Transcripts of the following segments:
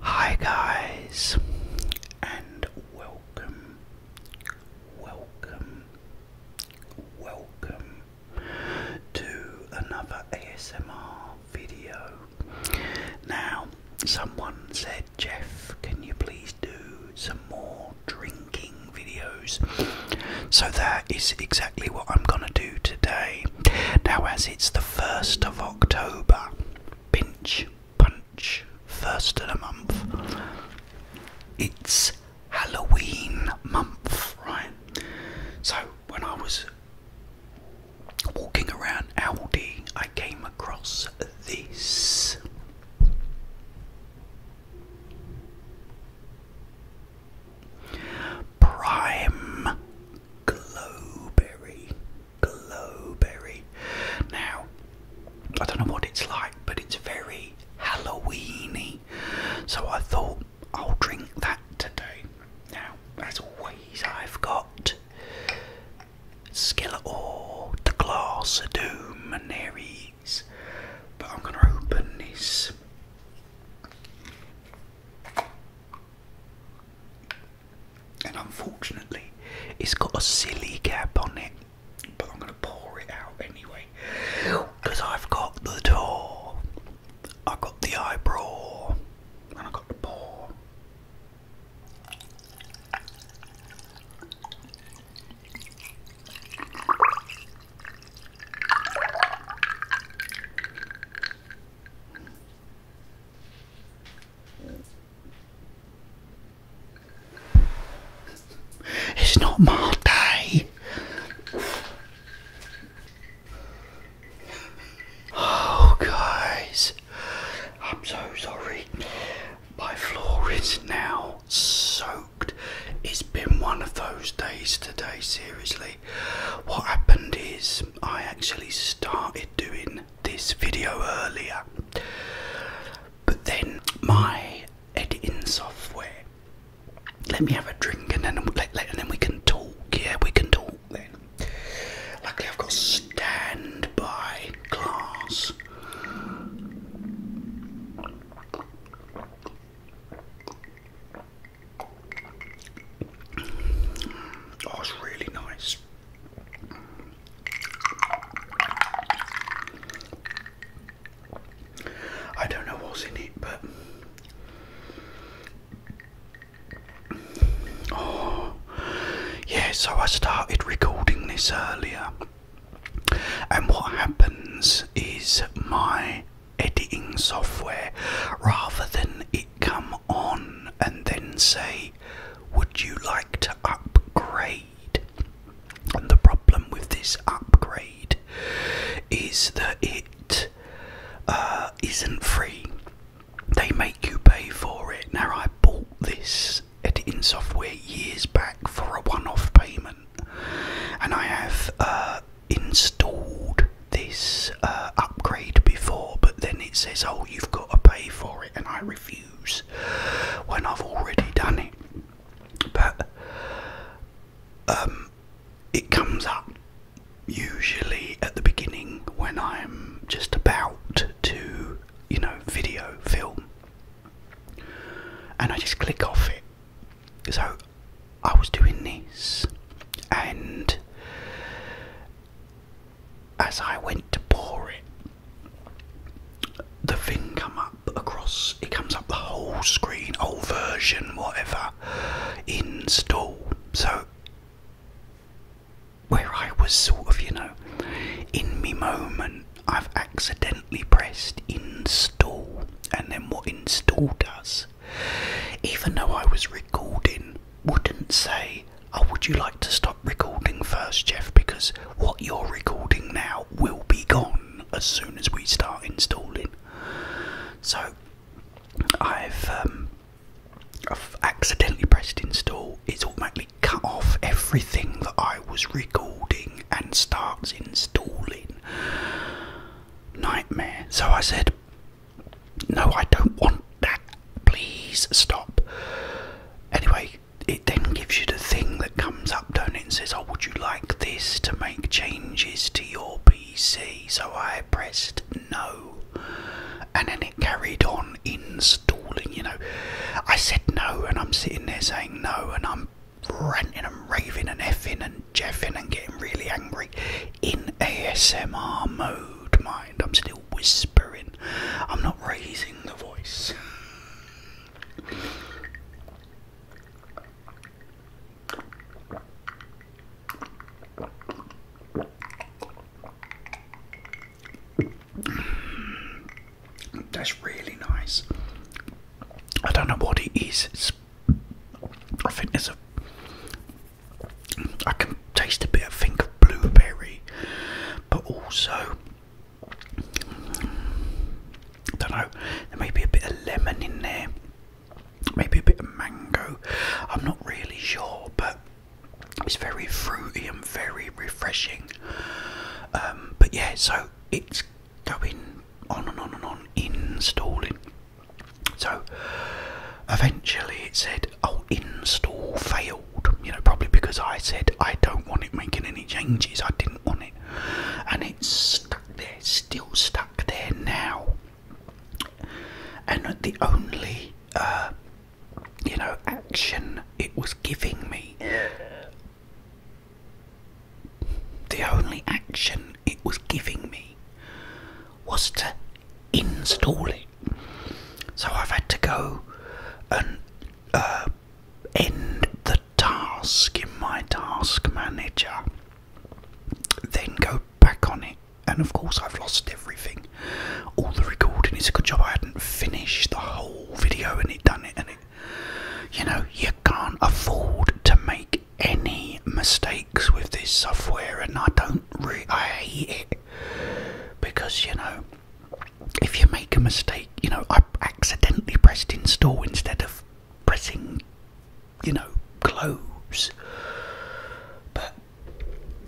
Hi, guys, and welcome, welcome, welcome to another ASMR video. Now, someone said, Jeff, can you please do some more drinking videos? So, that is exactly what I'm gonna do today. Now, as it's the 1st of October, pinch, punch, first of the month, it's Halloween month, right? So, when I was walking around Aldi, I came across this. Prime Glowberry. Glowberry. Now, I don't know what it's like, but it's very Halloweeny. So I thought I'll drink that today. Now, as always, I've got Skeletor, the Glass of Doom, and there But I'm going to open this and unfortunately, it's got a silly cap on it, but I'm going to pour it out anyway because I've got the door, I've got the eyebrow, and I've got the paw. It's not my day. Oh, guys, I'm so sorry. My floor is now soaked. It's been one of those days today, seriously. What happened is I actually started doing this video earlier, but then my editing software. Let me have a drink and then and then we can talk. Yeah, we can talk then. Luckily, I've got standby glass. Oh, it's really nice. I don't know what's in it, but oh, yeah. So I started recording this earlier. And what happens is my editing software, rather than it come on and then say, Would you like to upgrade? the problem with this upgrade is that it uh, not free. They make you pay for it. Now, I bought this editing software years back for a one off payment and I have uh, installed this uh, upgrade before, but then it says, "Oh, you've got to pay for it," and I refuse when I've already done it. But um, it comes up usually at the beginning when I'm just about to, you know, video film and I just click off it. So I was doing this, and as I went to pour it, the thing come up across. It comes up the whole screen, old version, whatever. Install. So where I was sort of, you know, in me moment, I've accidentally pressed install, and then what install does, even though I was recording, wouldn't say, Oh, would you like to stop recording first, Jeff? Because what you're recording now will be gone as soon as we start installing. So I've um, I've accidentally pressed install. It's automatically cut off everything that I was recording and starts installing. Nightmare. So I said, No, I don't want that. Please stop. Anyway, it then gives you the thing that comes up, don't it? And says, Oh, would you like this to make changes to your PC? So I pressed no. And then it carried on installing you know. I said no, and I'm sitting there saying no, and I'm ranting and raving and effing and jeffing and getting really angry in ASMR mode, mind. I'm still whispering, I'm not raising the voice. That's really nice. I don't know what it is. It's, I think there's a. I can taste a bit. of think of blueberry, but also I don't know. There may be a bit of lemon in there. Maybe a bit of mango. I'm not really sure, but it's very fruity and very refreshing. Um, but yeah, so it's going on and on and on installing. So eventually it said, Oh, install failed. You know, probably because I said I don't want it making any changes, I didn't want it. And it's stuck there, still stuck there now. And the only uh, you know, action it was giving me. The only action it was giving me was to install it. So I've had to go and uh, end the task in my task manager, then go back on it, and of course, I've lost everything all the recording. is a good job I hadn't finished the whole video and it done it. And it, you know, you can't afford to make any mistakes with this software, and I don't really, I hate it because you know, if you make a mistake, you know, I accidentally pressed install instead of pressing, you know, close. But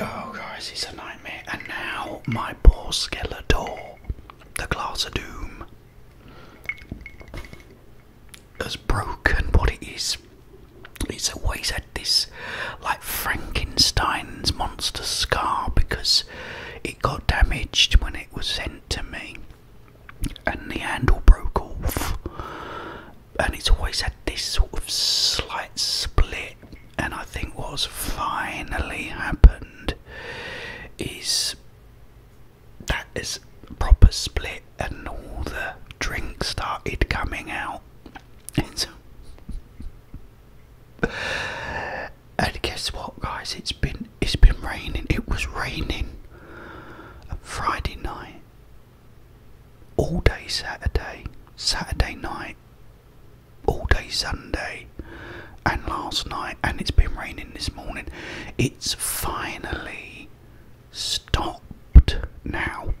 Oh guys, it's a nightmare. And now my poor Skeletor, the glass of doom, has broken what it is. It's always had this like Frankenstein's monster scar because it got damaged when it was sent to me and the handle broke off and it's always had this sort of slight split and I think what's finally happened is that is proper split and all the drinks started coming out. and guess what guys it's been it's been raining. It was raining Friday night all day Saturday, Saturday night all day Sunday and last night, and it's been raining this morning. It's finally stopped now.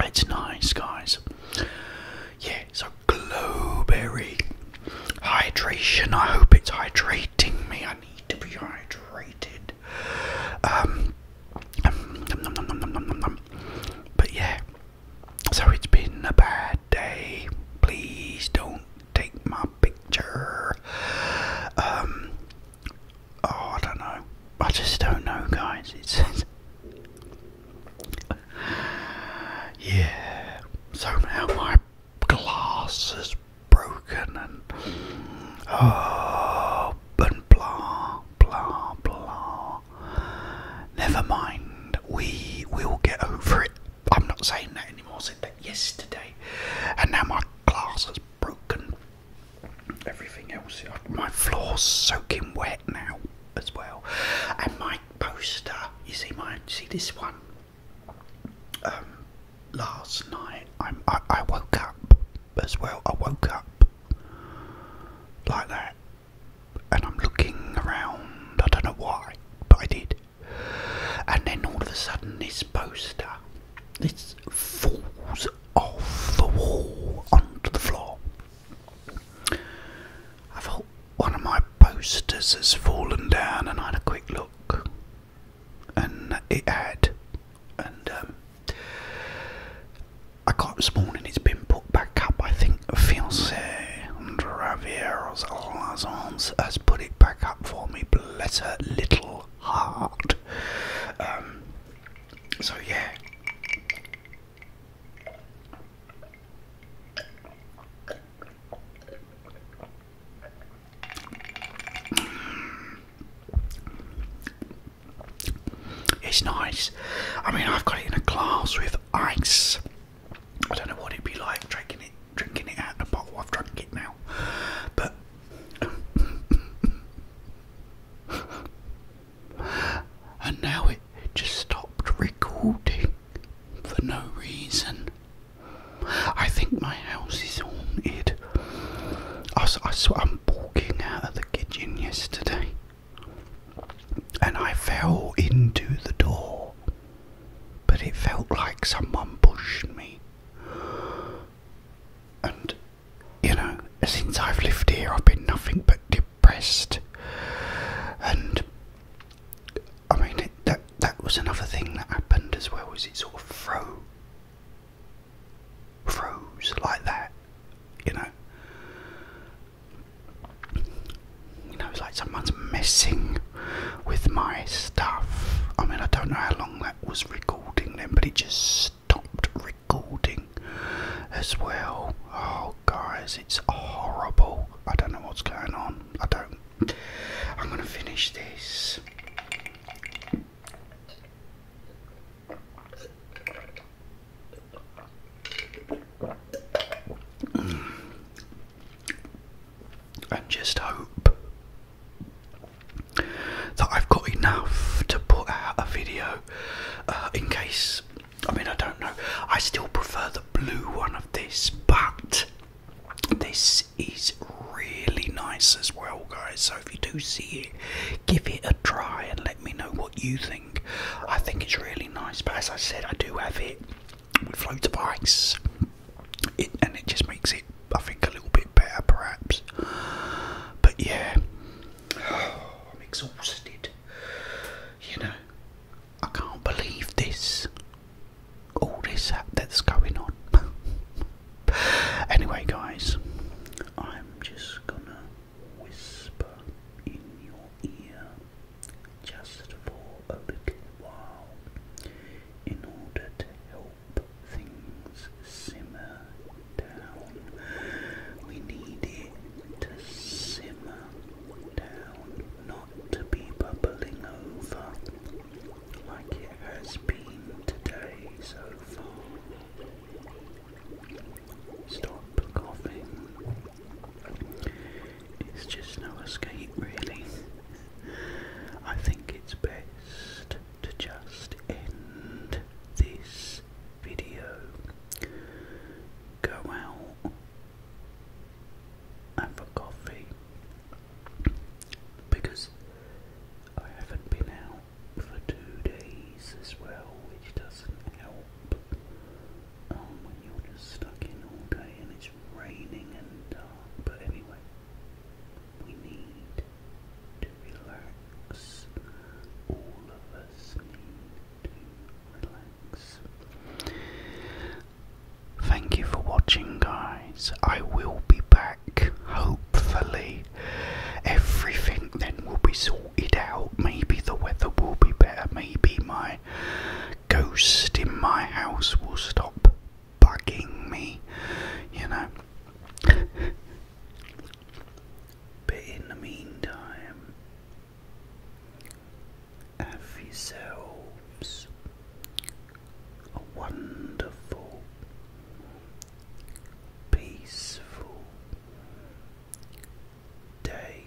It's nice, guys. Yeah, so glowberry hydration. I hope it's hydrating me. I need to be hydrated. Um, um num, num, num, num, num, num. Um. but yeah. So it's been a bad day. Please don't take my picture. Um, oh, I don't know. I just don't know, guys. It's yeah. So now my glass is broken and oh, and blah, blah, blah. Never mind. We will get over it. I'm not saying that anymore. I said that yesterday, and now my glass is broken everything else. My floor's soaking wet now as well, and my poster. You see my see this one. Um, last night I'm, I woke up as well. I woke up like that, and I'm looking around. I don't know why, but I did. And then all of a sudden, this poster, this falls off the wall onto the floor. I thought one of my posters has fallen down, and I had a quick look, and it had. And um, I got it this morning, it's been put back up. I think Fiancé Ravieros Lazons has put it back up for me. Bless her little heart. Um, so yeah. It's nice. I mean, I've got it in a glass with ice. I don't know what it'd be like drinking it, drinking it out of a bottle. I've drunk it now, but and now it just stopped recording for no reason. I think my house is haunted. I, I swear I'm walking out of the kitchen yesterday and I fell into the door, but it felt like someone pushed me. And you know, since I've lived here, I've been nothing but depressed. And I mean, that that was another thing that happened as well. Is it sort of froze, froze like that, you know? You know, it's like someone's messing with my stuff. I mean, I don't know how long that was recording them, but it just stopped recording as well. Oh, guys, it's horrible. I don't know what's going on. I don't. I'm going to finish this. And just hope that I've got enough to put out a video uh, in case. I mean, I don't know. I still prefer the blue one of this, but this is really nice as well, guys. So if you do see it, give it a try and let me know what you think. I think it's really nice, but as I said, I do have it with floats of ice it, and it just makes it, I think, a little bit better perhaps. But yeah, I'm exhausted. You know, I can't believe this. All this that's going on. anyway, guys, I'm just gonna whisper in your ear just for a little while in order to help things simmer down. We need it to simmer down, not to be bubbling over like it has been today so far. Stop coughing. It's just no escape, really. I think it's best to just end this video. Go out, have a coffee, because I haven't been out for two days as well, which doesn't help. Um, when you're just stuck in all day and it's raining and dark. but anyway. We need to relax. All of us need to relax. Thank you for watching, guys. I will be back, hopefully. Everything then will be sorted out. Maybe the weather will be better. Maybe my ghost in my house will stop bugging me, you know. but in the meantime, have yourselves a wonderful, peaceful day.